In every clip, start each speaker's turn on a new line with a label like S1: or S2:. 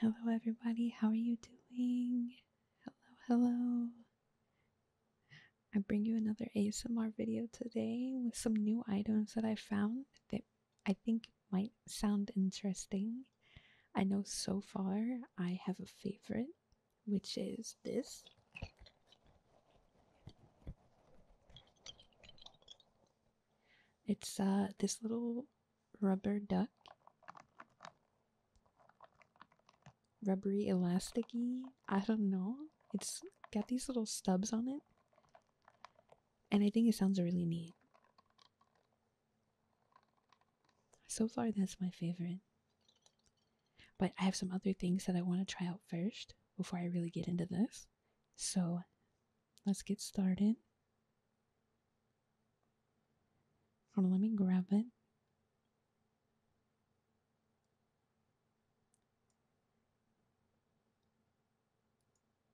S1: Hello, everybody. How are you doing? Hello, hello. I bring you another ASMR video today with some new items that I found that I think might sound interesting. I know so far I have a favorite, which is this. It's uh, this little rubber duck, rubbery elasticy. I don't know. It's got these little stubs on it, and I think it sounds really neat. So far, that's my favorite. But I have some other things that I want to try out first before I really get into this. So let's get started let me grab it.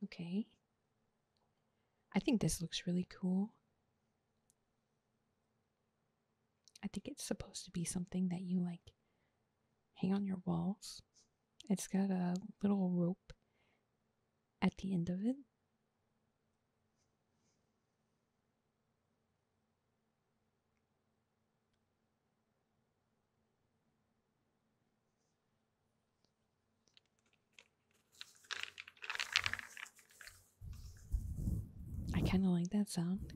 S1: Okay. I think this looks really cool. I think it's supposed to be something that you like hang on your walls. It's got a little rope at the end of it. I kind of like that sound.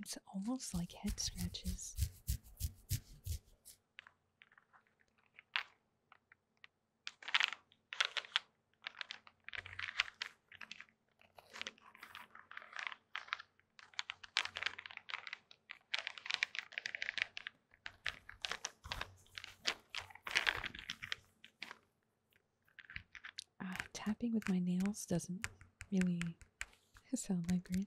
S1: It's almost like head scratches. Uh, tapping with my nails doesn't really sound like green.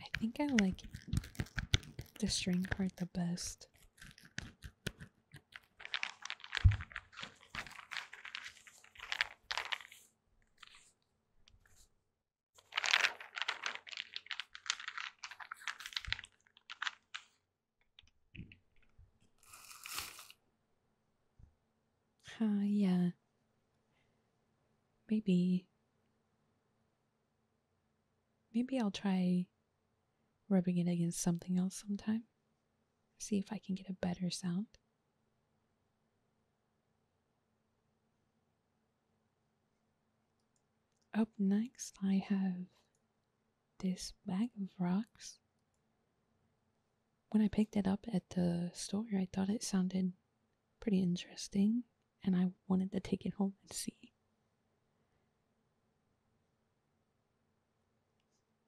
S1: I think I like the string part the best. Ah yeah. Maybe. Maybe I'll try rubbing it against something else sometime. See if I can get a better sound. Up next, I have this bag of rocks. When I picked it up at the store, I thought it sounded pretty interesting, and I wanted to take it home and see.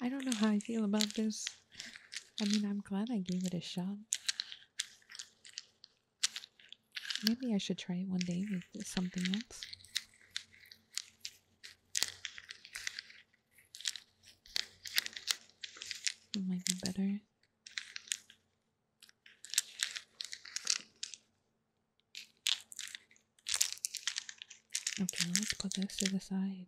S1: I don't know how I feel about this. I mean, I'm glad I gave it a shot. Maybe I should try it one day with something else. It might be better. Okay, let's put this to the side.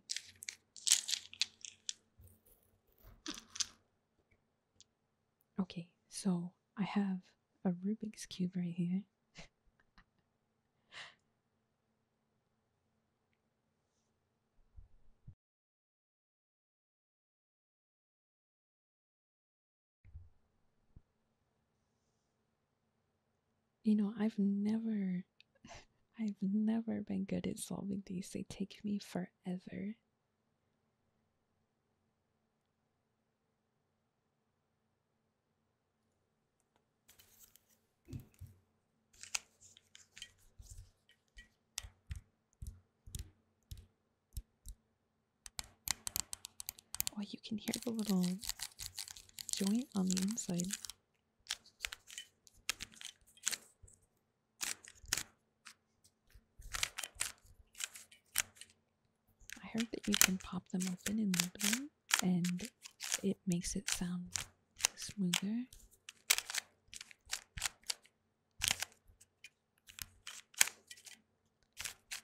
S1: Okay, so I have a Rubik's Cube right here you know, I've never I've never been good at solving these. They take me forever. Oh, you can hear the little joint on the inside. I heard that you can pop them open and loop them, and it makes it sound smoother.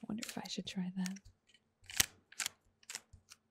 S1: wonder if I should try that.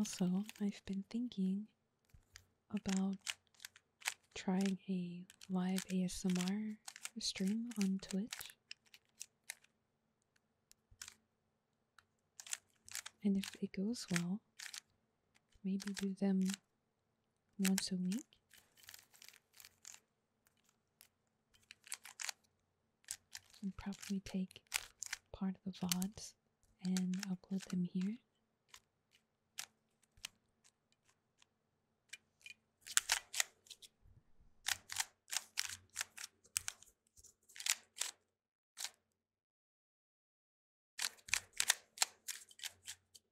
S1: Also, I've been thinking about trying a live ASMR stream on Twitch. And if it goes well, maybe do them once a week and probably take part of the VODs and upload them here.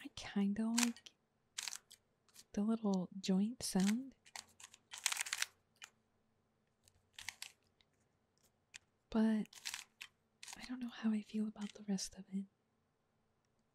S1: I kind of like the little joint sound. But I don't know how I feel about the rest of it.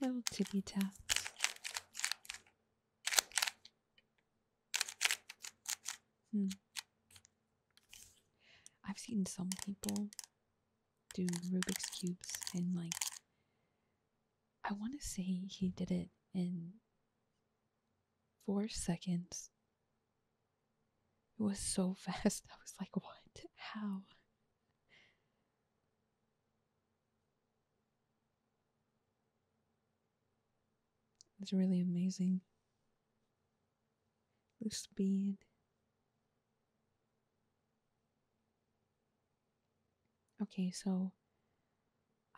S1: Little tippy taps. Hmm. I've seen some people do Rubik's Cubes and like I want to say he did it in four seconds. It was so fast. I was like, what? How? It's really amazing. The speed. Okay, so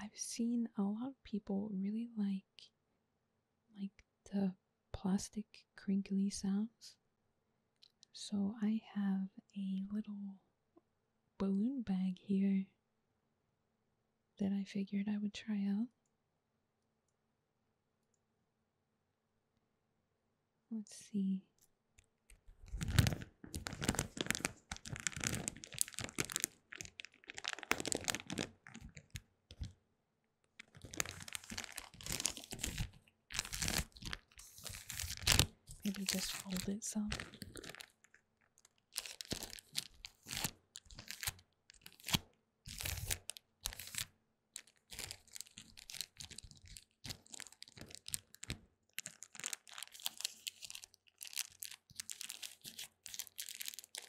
S1: I've seen a lot of people really like like the plastic crinkly sounds. So I have a little balloon bag here that I figured I would try out. Let's see. Maybe just fold it some.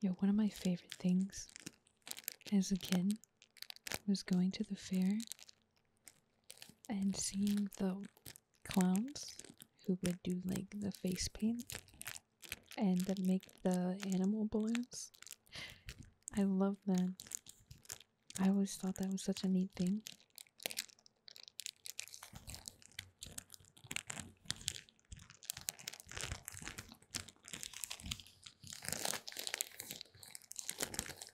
S1: Yo, one of my favorite things as a kid was going to the fair and seeing the clowns who would do like the face paint and make the animal balloons. I love them. I always thought that was such a neat thing.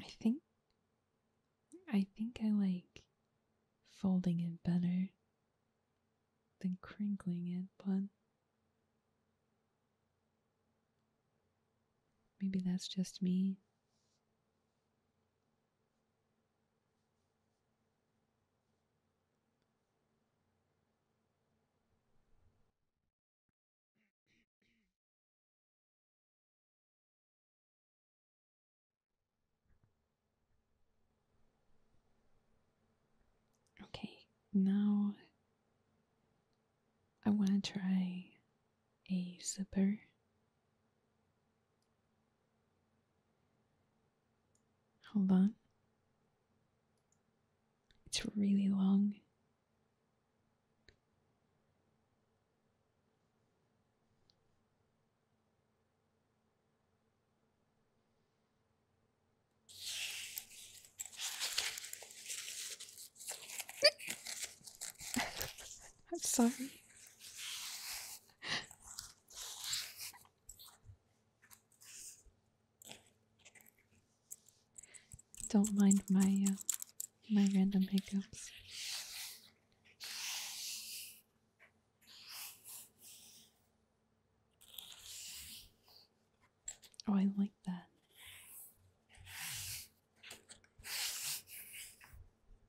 S1: I think I think I like folding it better than crinkling it, but maybe that's just me.
S2: Okay, now
S1: I want to try a zipper. Hold on. It's really long.
S2: I'm sorry.
S1: Don't mind my uh, my random hiccups. Oh, I like that.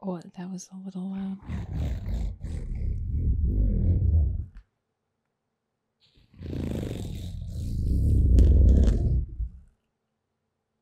S1: Oh, that was a little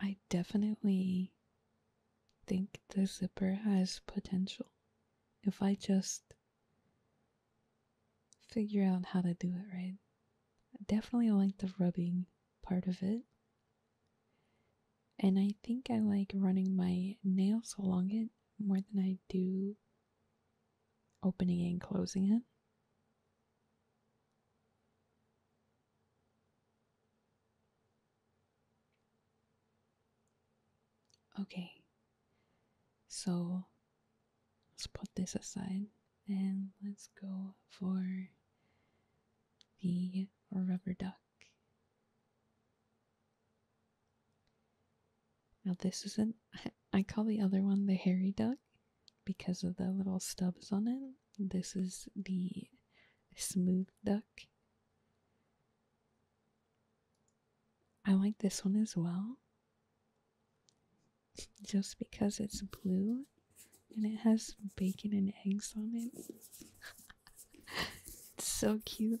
S1: I definitely think the zipper has potential if I just figure out how to do it right. I definitely like the rubbing part of it. And I think I like running my nails along it more than I do opening and closing it. Okay, so let's put this aside and let's go for the rubber duck. Now, this is not I call the other one the hairy duck because of the little stubs on it. This is the smooth duck. I like this one as well. Just because it's blue and it has bacon and eggs on it. it's so cute.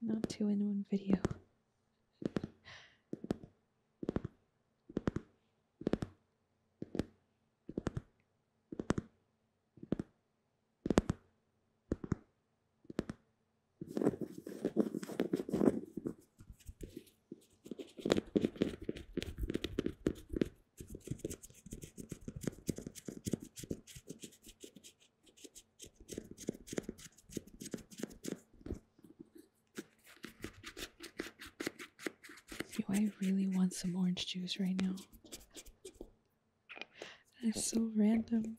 S1: not two in one video.
S2: Do I really
S1: want some orange juice right now? That's so random.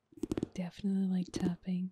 S1: Definitely like tapping.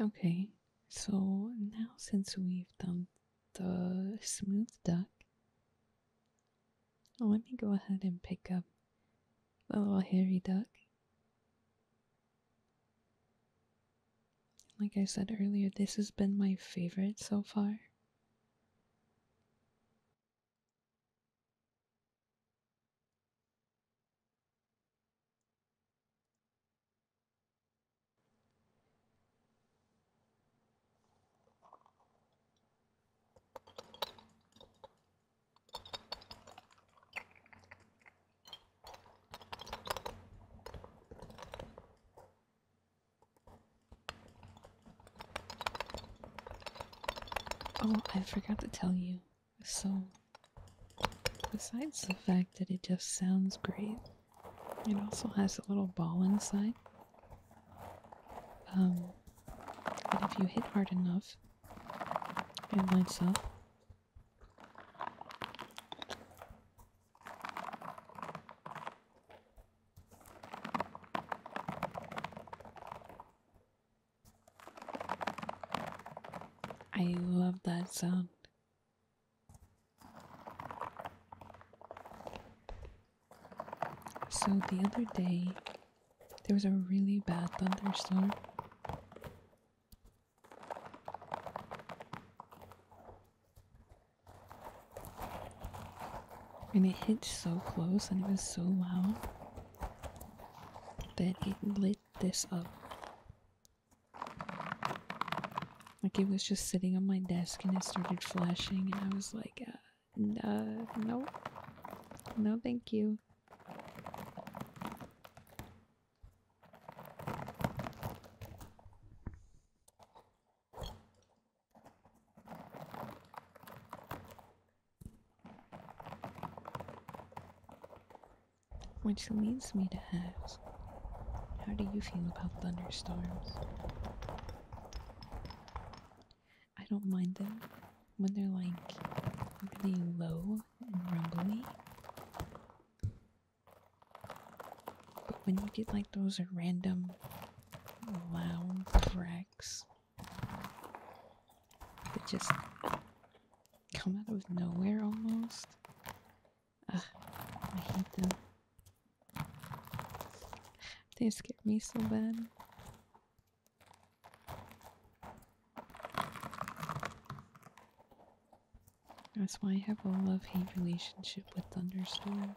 S1: Okay, so now since we've done the smooth duck, let me go ahead and pick up the little hairy duck. Like I said earlier, this has been my favorite so far. Oh, I forgot to tell you. So, besides the fact that it just sounds great, it also has a little ball inside. Um, but if you hit hard enough, it lights up. I love that sound. So the other day, there was a really bad thunderstorm. And it hit so close and it was so loud that it lit this up. Like it was just sitting on my desk and it started flashing, and I was like, uh, uh no, no, thank you. Which leads me to ask how do you feel about thunderstorms? I don't mind them when they're like really low and rumbley, But when you get like those random loud cracks that just come out of nowhere almost. I hate them. They scare me so bad. That's why I have a love-hate relationship with thunderstorms.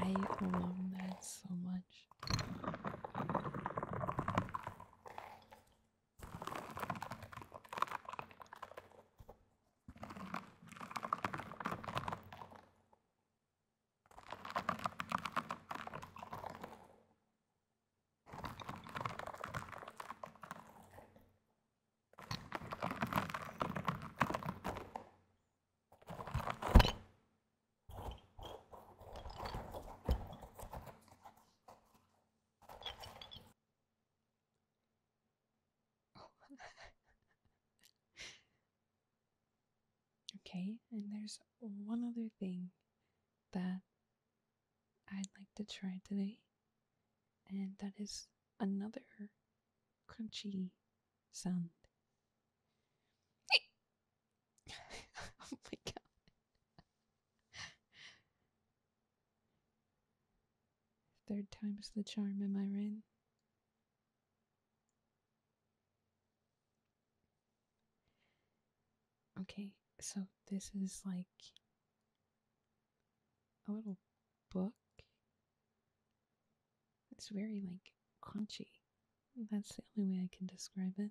S1: I love that so much okay, and there's one other thing that I'd like to try today, and that is another crunchy sound. oh my god. Third time's the charm, am I right? Okay, so this is like a little book. It's very like crunchy. That's the only way I can describe it.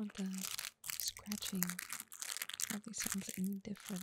S1: Or the scratching probably sounds any different.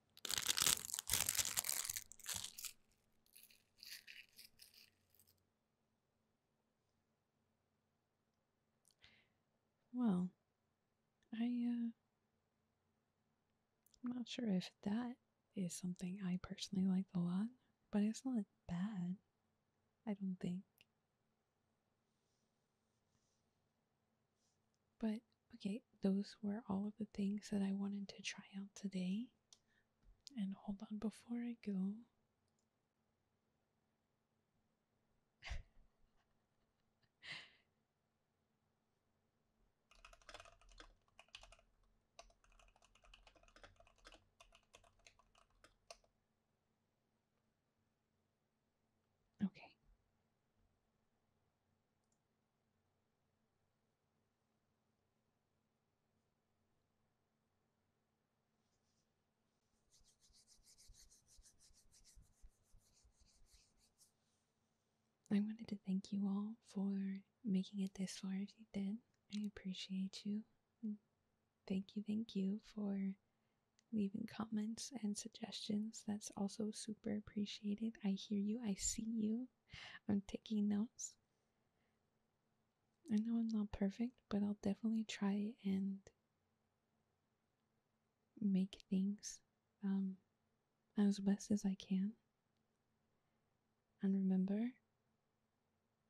S1: Well, I, uh, I'm not sure if that is something I personally liked a lot, but it's not bad, I don't think. But Okay, those were all of the things that I wanted to try out today. And hold on before I go.
S2: Okay.
S1: I wanted to thank you all for making it this far if you did. I appreciate you. Thank you, thank you for leaving comments and suggestions. That's also super appreciated. I hear you, I see you. I'm taking notes. I know I'm not perfect, but I'll definitely try and make things um, as best as I can. And remember,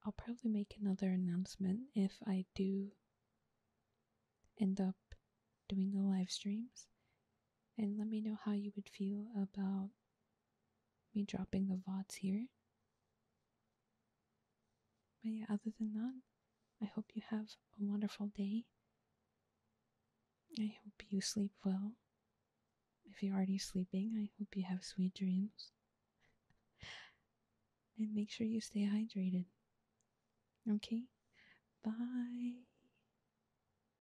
S1: I'll probably make another announcement if I do end up doing the live streams and let me know how you would feel about me dropping the VODs here. But yeah, other than that, I hope you have a wonderful day. I hope you sleep well. If you're already sleeping, I hope you have sweet dreams. and make sure you stay hydrated. Okay? Bye.